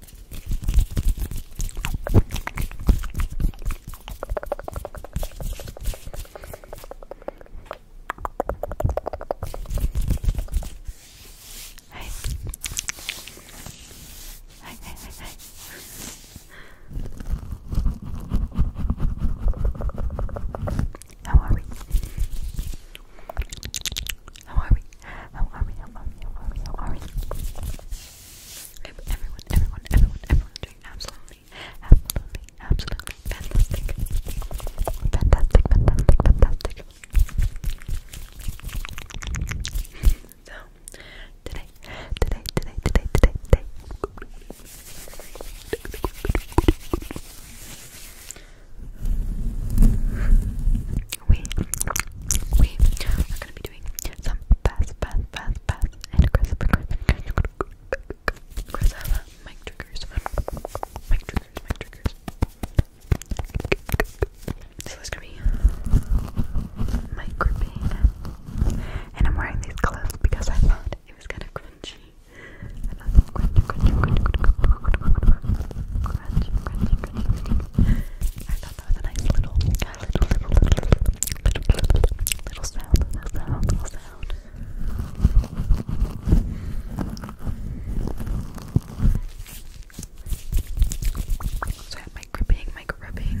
Hi. Hi, hi, hi, How are we? How are we? How are we? How are we? How are we? How are we? Everyone, everyone, everyone, everyone's doing absolutely, absolutely, absolutely fantastic. Fantastic, fantastic, fantastic. So, today, today, today, today, today, today we, we are gonna be doing some fast, fast, fast, fast, and aggressive, aggressive, aggressive mic triggers, mic triggers, mic triggers. So it's gonna be mic gripping, and I'm wearing these gloves because I thought it was kind of crunchy. I thought crunchy, crunchy, crunchy, crunchy, crunchy, crunchy, crunchy, crunchy, crunchy. I little, sound, So I have my gripping,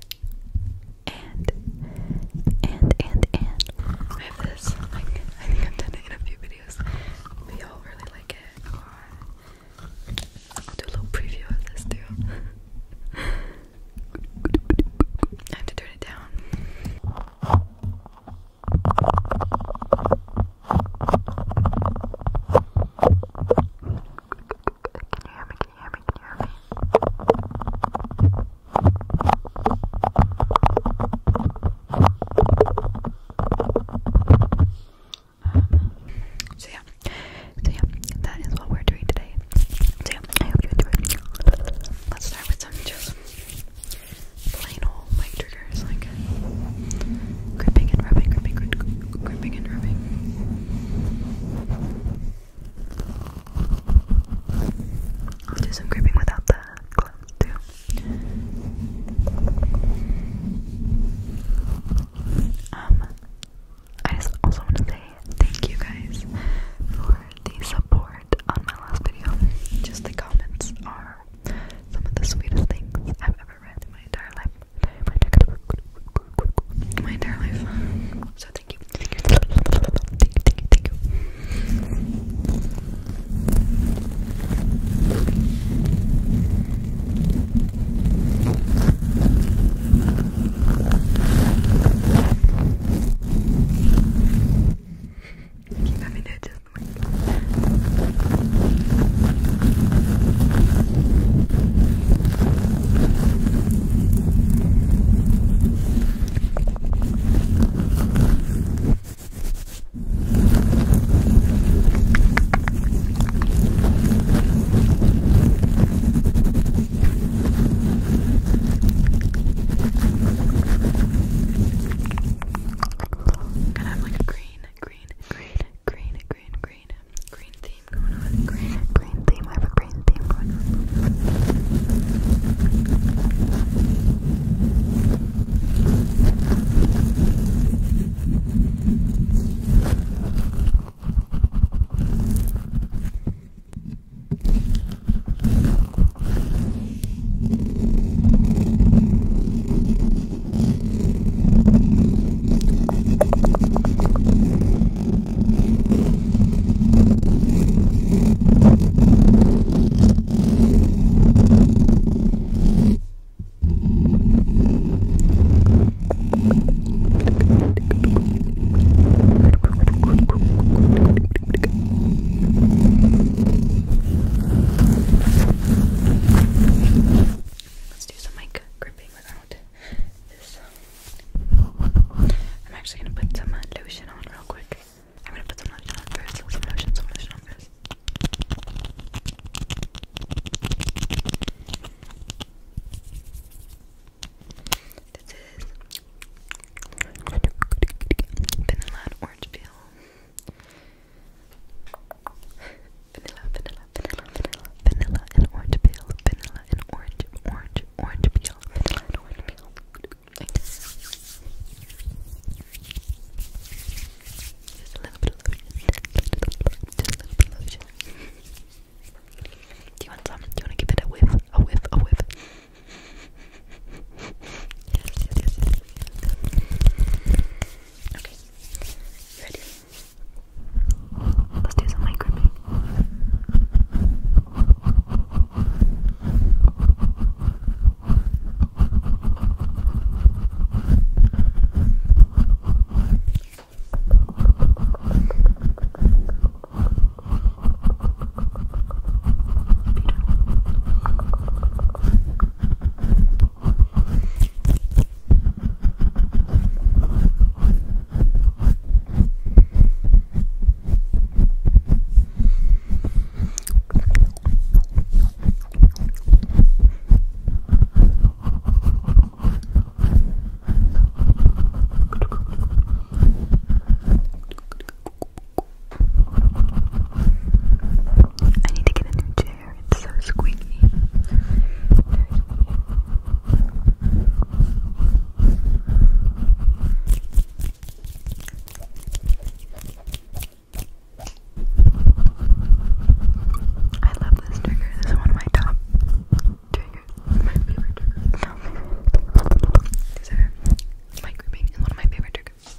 And, and, and, and. I have this, like, I think I've done it in a few videos, but all really like it do a little preview of this too. I have to turn it down. Can hear me? Can you hear me? Can you hear me? so yeah, so yeah, that is what we're doing today. So yeah, I hope you enjoyed. Let's start with some just plain old mic triggers, like gripping and rubbing, gripping, gripping, gripping and rubbing. I'll do some gripping without the glove too. Um, I also want to say thank you guys for the support on my last video. Just the comments are some of the sweetest things I've ever in my entire life. My entire life. So thank you. Thank you. Thank you. Keep having to adjust Gonna have like a green, green, green, green, green, green, green theme going on. Green, theme. I have a green theme going on. Let's do some mic gripping with I'm actually gonna put some uh, lotion on real quick. I'm gonna put some lotion on first. Some lotion, some lotion on first. This is vanilla orange peel vanilla, vanilla, vanilla, vanilla, vanilla and orange peel, vanilla and orange, orange, orange peel, vanilla and orange peel. Like this. Just a little bit of lotion. Just a little bit of lotion. Do you want some? Do you want to give it a whiff? A whiff, a whiff. Yes, yes, yes. Okay. You ready? Let's do some mic gripping. Beautiful. I need to get a new chair. It's so squeaky. I love this trigger. This is one of my top favorite triggers. my grouping and one of my favorite triggers.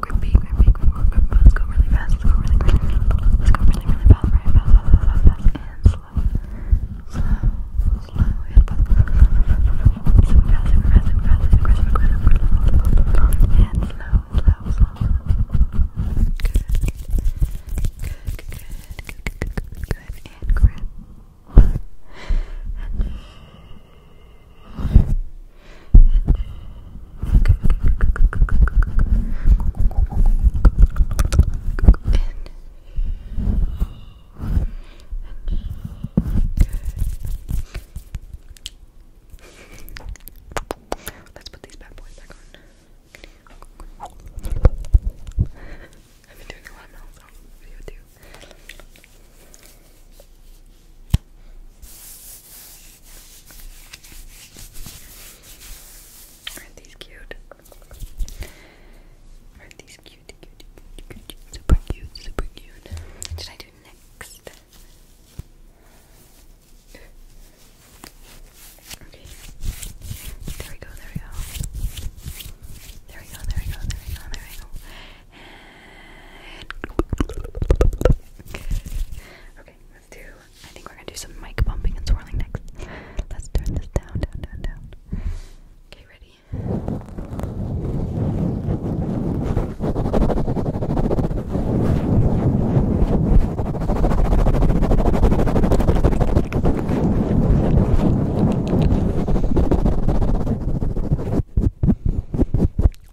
grippy, grippy, grippy, let's go really fast, let's go really quick, let's go really, really fast, right, fast, fast, fast, fast, fast, and slow, slow, slow, and fast, super fast, super fast, super fast, super fast, super fast, super fast, super fast, and slow, slow, slow, good, good, good, good, good, good, good, and grip, and Let's put these bad boys back on. I've been doing a lot of mouth video too are these cute? are these cute, cute, cute, cute, cute, super cute, super cute? What should I do next? Okay. There we go, there we go. There we go, there we go, there we go, there we go. Okay, let's do. I think we're gonna do some mic bumping and swirling next. Let's turn this down, down, down, down. Okay, ready?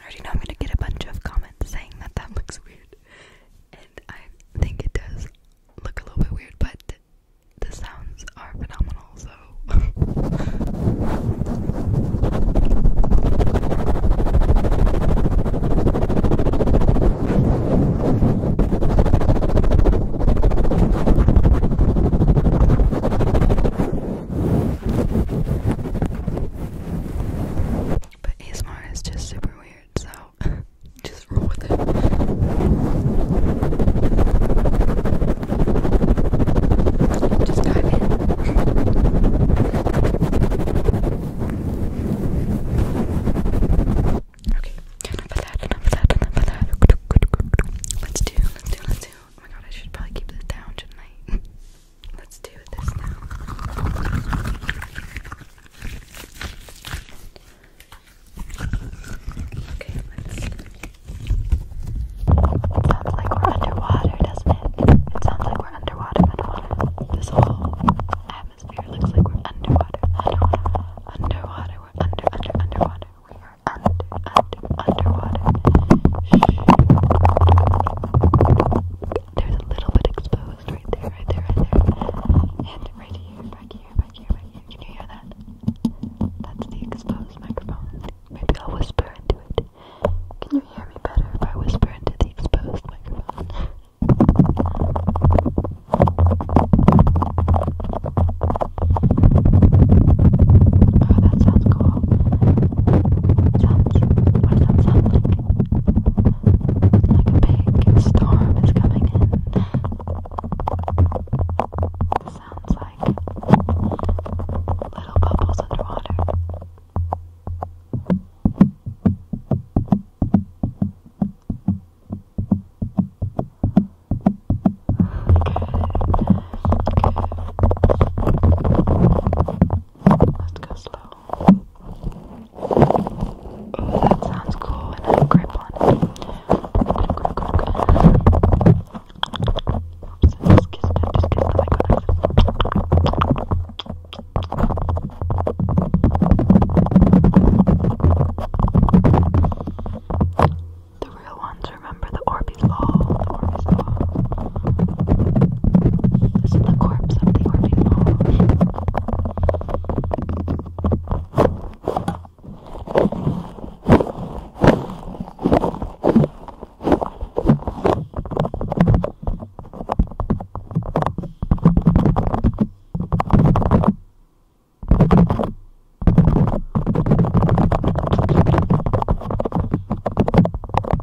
I already know I'm gonna get a bunch of comments saying that that looks weird, and I think it does look a little bit weird, but the sounds are phenomenal, so. But ASMR is just super weird, so just roll with it. Just dive in. okay, enough of that, enough of that, enough of that. Let's do, let's do, let's do. Oh my god, I should probably keep this down, should Let's do this now. Okay, It sounds like we're underwater, doesn't it? It sounds like we're underwater, underwater. This whole atmosphere looks like we're underwater, underwater, underwater. under, under, underwater. We are under, underwater there's a little bit exposed right there, right there, right there. And right here, back here, back here, back here. Can you hear that? That's the exposed microphone. Maybe I'll whisper into it. Can you hear me better if I whisper into the exposed microphone? Oh, that sounds cool sounds? What does like? a big storm is coming in. sounds like little bubbles underwater. Good. Good. Let's go slow. Ooh, that sounds cool. And I grip just kissed it. Just kissed the The real ones remember the Orbeez ball, the Orbeez ball. This is the corpse of the Orbeez ball.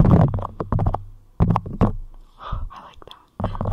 I like that. Okay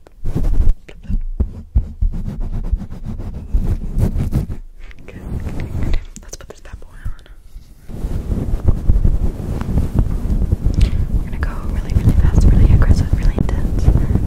Good, good, good. Let's put this bad boy on. We're gonna go really, really fast, really aggressive, really intense. Good.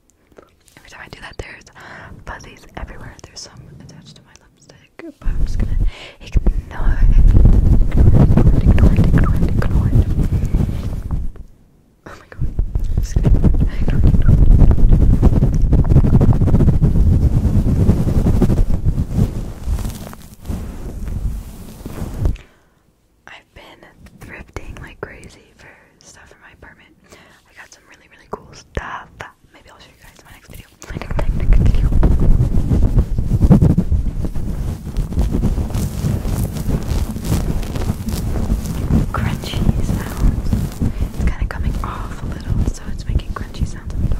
Every time I do that, there's fuzzies everywhere. There's some attached to my lipstick, but I'm just gonna ignore Ignore ignore ignore ignore Oh my god. ignore I've been thrifting like crazy for stuff for my apartment. I got some really, really cool stuff. Maybe I'll show you guys in my next video. My next, next, next video. Crunchy sounds. It's kind of coming off a little, so it's making crunchy sounds on top.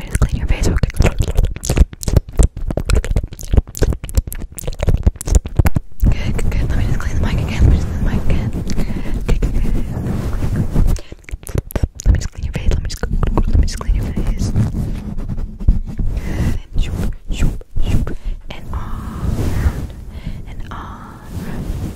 Let me just clean your face, okay? Good, good, good. Let me just clean the mic again. Let me just clean the mic again. Good, good, good. Let me just clean your face. Let me just, let me just clean your face. Good. And shoop, shoop, shoop. And all around. And all around.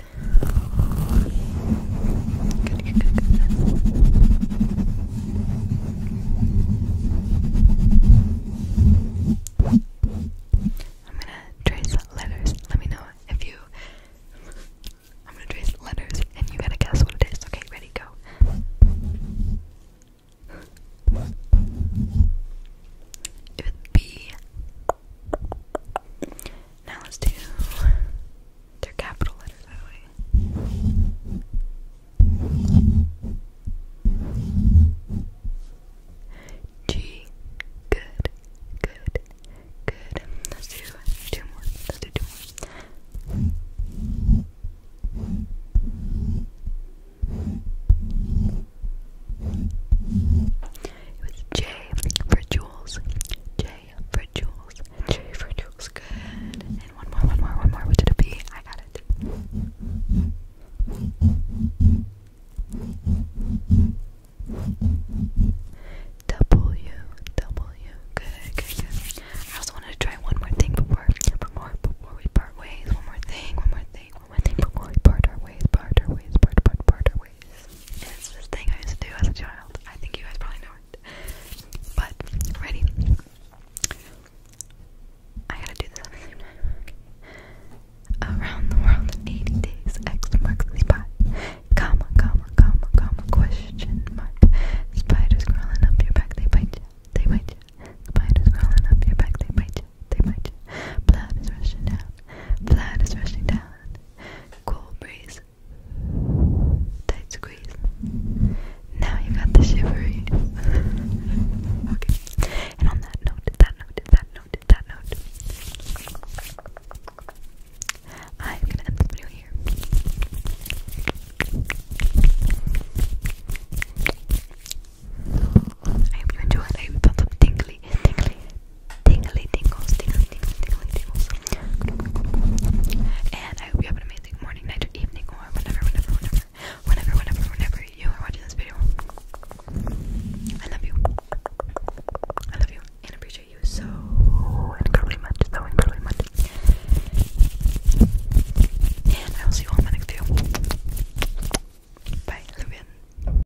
I'm gonna trace letters. Let me know if you. I'm gonna trace letters and you gotta guess what it is. Okay, ready, go. It would be now let's do their capital letters that way. G. Good. Good. Good. Let's do two more. Let's do two more. It was J for Jules. J for Jules. J for Jules. Good. And one more, one more, one more. What did it be? I got it. W. W. Good, good, good. I also wanted to try one more thing before, before, before we part ways. One more thing, one more thing, one more thing before we part our ways, part our ways, part, part, part our ways it's this thing I used to do as a child. I think you guys probably know it. But, ready? I gotta do this Around the world in 80 days, X marks Comma, comma, comma, comma, question mark. Spiders crawling up your back, they bite They bite Spiders crawling up your back, they bite They bite Blood is rushing down. Blood is rushing down. Cool breeze. Tight squeeze. Now you got the shivery. okay. And on that note, that note, that note, that note. I'm gonna end this video here. I hope you enjoyed. I felt something tingly, tingly tingles, tingly tingles, tingly tingles. And I hope you have an amazing morning, night, or evening, or whenever, whenever, whenever, whenever, whenever, you are watching this video. I love you. I love you and appreciate you so incredibly much, so incredibly much. And I will see you all my next video. Bye, love you.